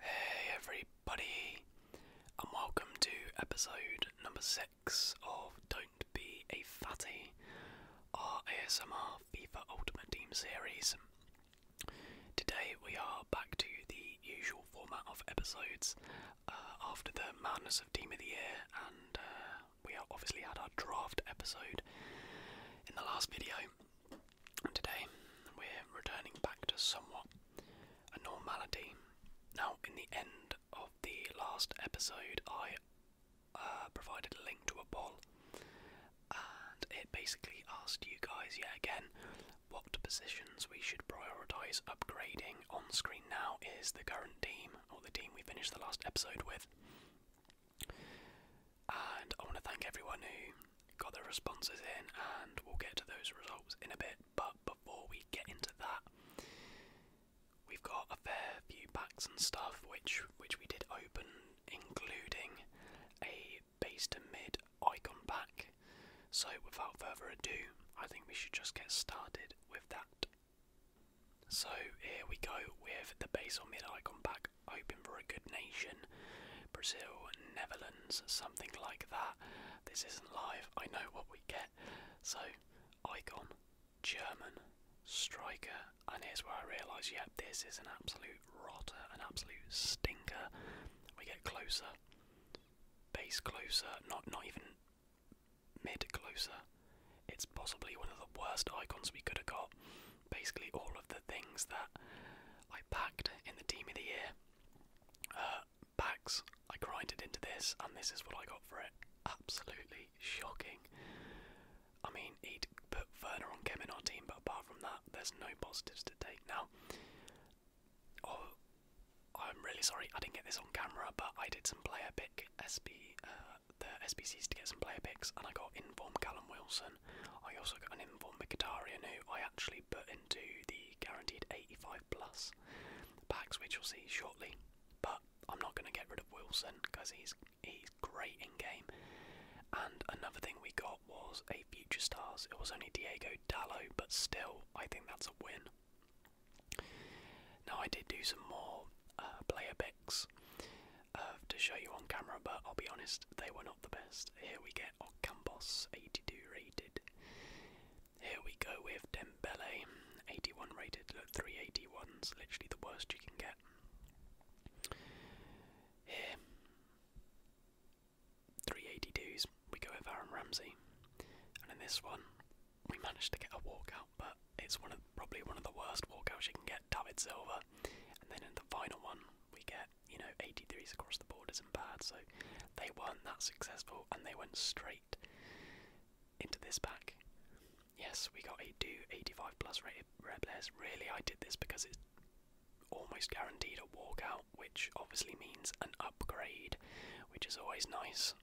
Hey everybody, and welcome to episode number six of Don't Be a Fatty, our ASMR FIFA Ultimate Team series. Today we are back to the usual format of episodes uh, after the Madness of Team of the Year, and uh, we obviously had our draft episode in the last video. And today we're returning back to somewhat a normality. Now, in the end of the last episode, I uh, provided a link to a poll, and it basically asked you guys yet again what positions we should prioritise upgrading. On screen now is the current team, or the team we finished the last episode with and I want to thank everyone who got their responses in, and we'll get to those results in a bit. But before we get into that, we've got a fair few packs and stuff which which we did open, including a base to mid icon pack. So without further ado, I think we should just get started with that. So here we go with the base or mid icon pack hoping for a good nation. Brazil, Netherlands, something like that. This isn't live, I know what we get. So, icon, German, striker, and here's where I realise, yeah, this is an absolute rotter, an absolute stinker. We get closer, base closer, not not even mid closer. It's possibly one of the worst icons we could have got basically all of the things that I packed in the Team of the Year uh, packs. I grinded into this, and this is what I got for it. Absolutely shocking. I mean, he'd put Werner on Kim in our team, but apart from that, there's no positives to take. Now, oh, I'm really sorry I didn't get this on camera, but I did some player pick SB, uh, the SBCs to get some player picks, and I got inform Callum Wilson. I also got an inform Mkhitaryan, who I actually put into the guaranteed 85 plus packs, which you'll see shortly. But I'm not going to get rid of Wilson because he's he's great in game. And another thing we got was a future stars. It was only Diego Dallo, but still, I think that's a win. Now I did do some more uh, player picks uh, to show you on camera, but I'll be honest, they were not the best. Here we get Ocampos, 82 rated. Here we go with Dembele, 81 rated. Look, 381's literally the worst you can get. Here, 382's, we go with Aaron Ramsey. And in this one, we managed to get a walkout, but it's one of probably one of the worst walkouts you can get, David Silva. And then in the final one, we get you know, 83s across the board isn't bad, so they weren't that successful and they went straight into this pack. Yes, we got a do 85 plus rated red players. Really, I did this because it's almost guaranteed a walkout, which obviously means an upgrade, which is always nice.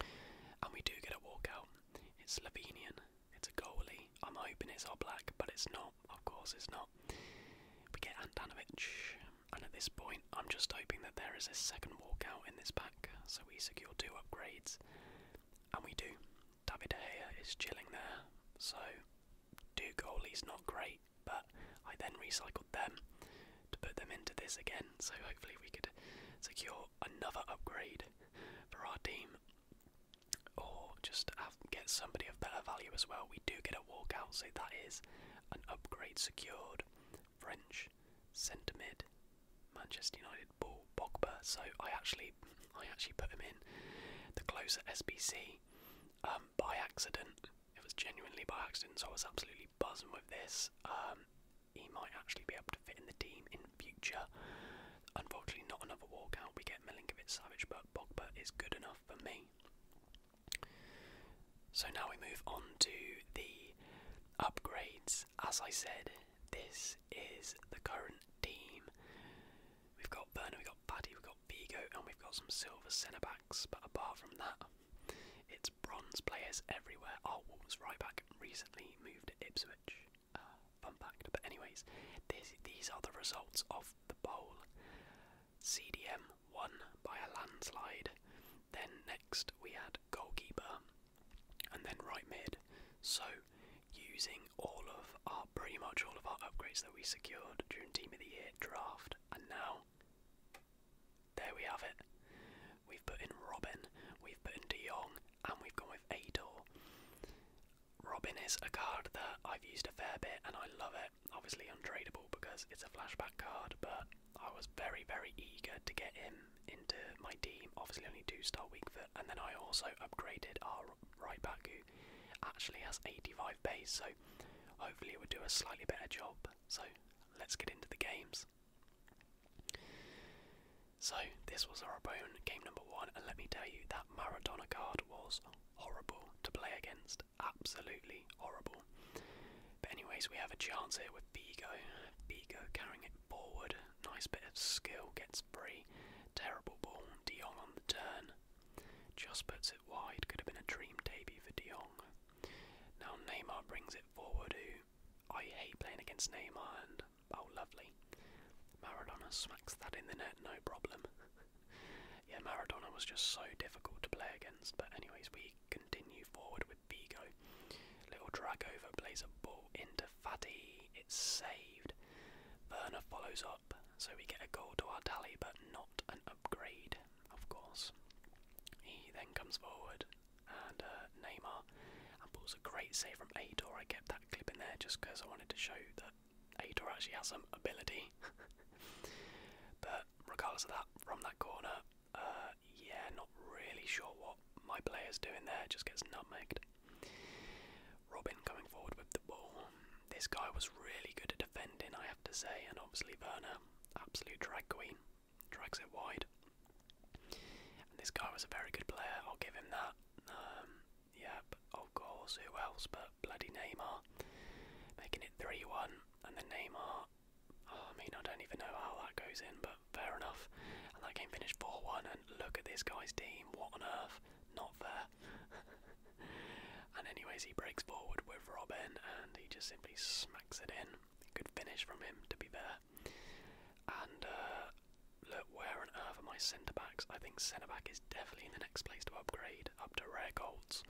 And we do get a walkout. It's Slovenian, it's a goalie. I'm hoping it's all black, but it's not. Of course it's not. We get Andanovic, and at this point, I'm just hoping that there is a second walkout in this pack, so we secure two upgrades. And we do. David here is chilling there, so do goalies not great, but I then recycled them to put them into this again, so hopefully we could secure another upgrade for our team or just get somebody of better value as well. We do get a walkout, so that is an upgrade secured. French centre mid, Manchester United ball Pogba. So I actually, I actually put him in the closer SBC um, by accident. It was genuinely by accident, so I was absolutely buzzing with this. Um, he might actually be able to fit in the team in future. Unfortunately, not another walkout. We get Milinkovic Savage, but Pogba is good enough for me. So now we move on to the upgrades. As I said, this is the current team. We've got Werner, we've got Paddy, we've got Vigo, and we've got some silver centre backs. But apart from that, it's bronze players everywhere. Our oh, Wolves right back recently moved to Ipswich. Uh, fun fact. But anyways, this, these are the results of the bowl. CDM won by a landslide. Then next we had goalkeeper and then right mid. So using all of our pretty much all of our upgrades that we secured during Team of the Year draft and now there we have it. We've put in Robin, we've put in De Jong, and we've gone with Ador. Robin is a card that I've used a fair bit and I love it. Obviously untradeable because it's a flashback card, but I was very, very eager to get him into my team. Obviously only two-star weak foot, and then I also upgraded our right back who actually has 85 base, so hopefully it would do a slightly better job. So let's get into the games. So this was our opponent, game number one, and let me tell you that Maradona card was horrible to play against. Absolutely horrible. But, anyways, we have a chance here with Bigo. Bigo carrying it forward. Nice bit of skill, gets free. Terrible ball. De on the turn. Just puts it wide. Could have been a dream debut for De Now Neymar brings it forward, who I hate playing against Neymar, and oh, lovely. Maradona smacks that in the net, no problem. yeah, Maradona was just so difficult to play against. But anyways, we continue forward with Vigo. Little drag over plays a ball into Fatty. It's saved. Werner follows up, so we get a goal to our tally, but not an upgrade, of course. He then comes forward and uh, Neymar and pulls a great save from Aitor. I kept that clip in there just because I wanted to show that Aitor actually has some ability. but regardless of that, from that corner, uh, yeah, not really sure what my player's doing there, just gets nutmegged. Robin coming forward with the ball. This guy was really good at defending, I have to say, and obviously Werner, absolute drag queen, drags it wide. And this guy was a very good player, I'll give him that. Um, Yep, of oh, course, who else but bloody Neymar. Making it 3 1, and the Neymar. Oh, I mean, I don't even know how that goes in, but fair enough. And that game finished 4 1, and look at this guy's team. What on earth? Not fair. and, anyways, he breaks forward with Robin, and he just simply smacks it in. Good finish from him, to be there. And, uh, where on earth are my centre backs? I think centre back is definitely in the next place to upgrade up to rare golds.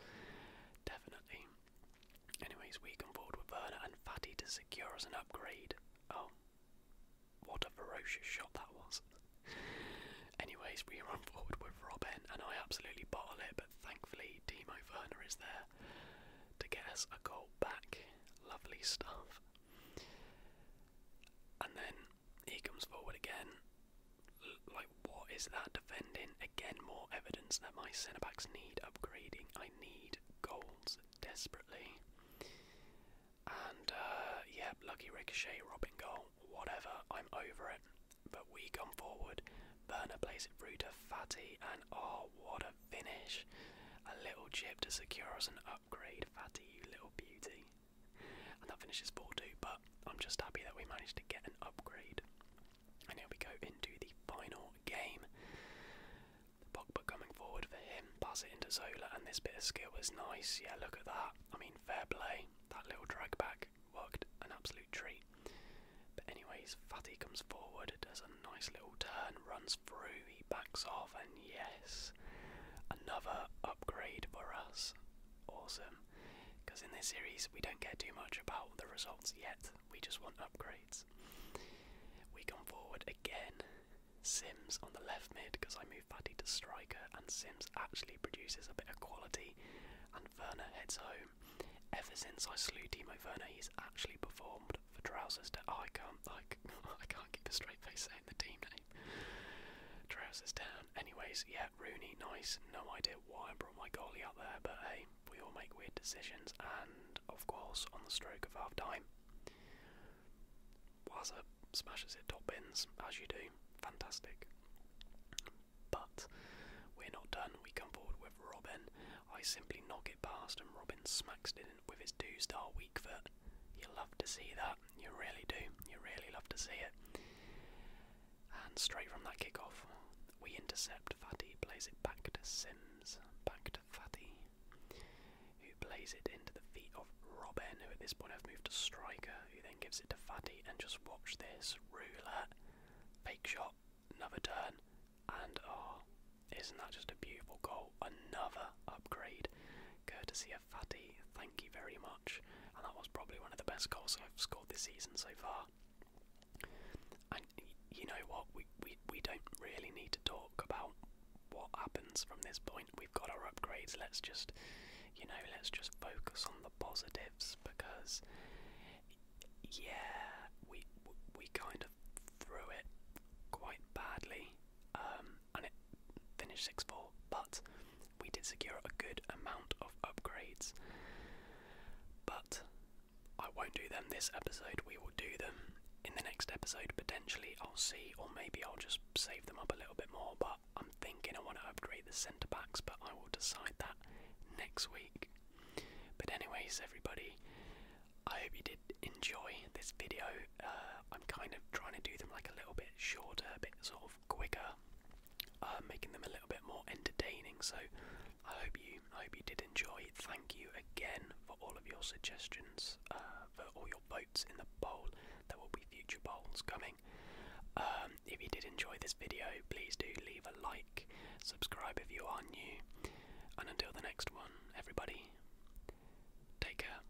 Definitely. Anyways, we can forward with Verna and Fatty to secure us an upgrade. Oh, what a ferocious shot that was. Anyways, we run forward with Robin and I absolutely bottle it, but thankfully Timo Verna is there to get us a goal back. Lovely stuff. And then he comes forward again. L like, what is that defending? Again, more evidence that my centre backs need upgrading. I need goals desperately. And, uh, yep, lucky ricochet, Robin goal, whatever. I'm over it. But we come forward. Werner plays it through to Fatty, and oh, what a finish! A little chip to secure us an upgrade, Fatty, you little beauty and that finishes 4-2, but I'm just happy that we managed to get an upgrade. And here we go into the final game. Pogba coming forward for him, pass it into Zola, and this bit of skill was nice. Yeah, look at that. I mean, fair play. That little drag back worked an absolute treat. But anyways, Fatty comes forward, does a nice little turn, runs through, he backs off, and yes, another upgrade for us awesome. Because in this series, we don't care too much about the results yet, we just want upgrades. We come forward again. Sims on the left mid because I move Paddy to striker and Sims actually produces a bit of quality and Werner heads home. Ever since I slew Timo Werner he's actually performed for Trousers to oh, I can't like I can't keep a straight face saying the team name. Trousers down Anyways, yeah, Rooney, nice. No idea why I brought my goalie out there, but hey, we all make weird decisions. And of course, on the stroke of half time, Waza smashes it top bins, as you do. Fantastic. But we're not done. We come forward with Robin. I simply knock it past, and Robin smacks it in with his two-star weak foot. You love to see that. You really do. You really love to see it. And straight from that kickoff, we intercept. Fatty plays it back to Sims. Back to Fatty, who plays it into the feet of Robin, who at this point has moved to striker, who then gives it to Fatty. And just watch this roulette. Fake shot, another turn, and oh, isn't that just a beautiful goal? Another upgrade, courtesy of. Antonio thank you very much. And that was probably one of the best goals I've scored this season so far. And you know what? We, we, we don't really need to talk about what happens from this point. We've got our upgrades. Let's just, you know, let's just focus on the positives because, yeah, we we kind of threw it quite badly. Um, and it finished 6 4, but we did secure a good amount of upgrades. But I won't do them this episode, we will do them in the next episode. Potentially, I'll see, or maybe I'll just save them up a little bit more. But I'm thinking I want to upgrade the centre backs, but I will decide that next week. But, anyways, everybody. I hope you did enjoy this video. Uh, I'm kind of trying to do them like a little bit shorter, a bit sort of quicker, uh, making them a little bit more entertaining. So I hope you, I hope you did enjoy. Thank you again for all of your suggestions, uh, for all your votes in the poll. There will be future polls coming. Um, if you did enjoy this video, please do leave a like, subscribe if you are new, and until the next one, everybody, take care.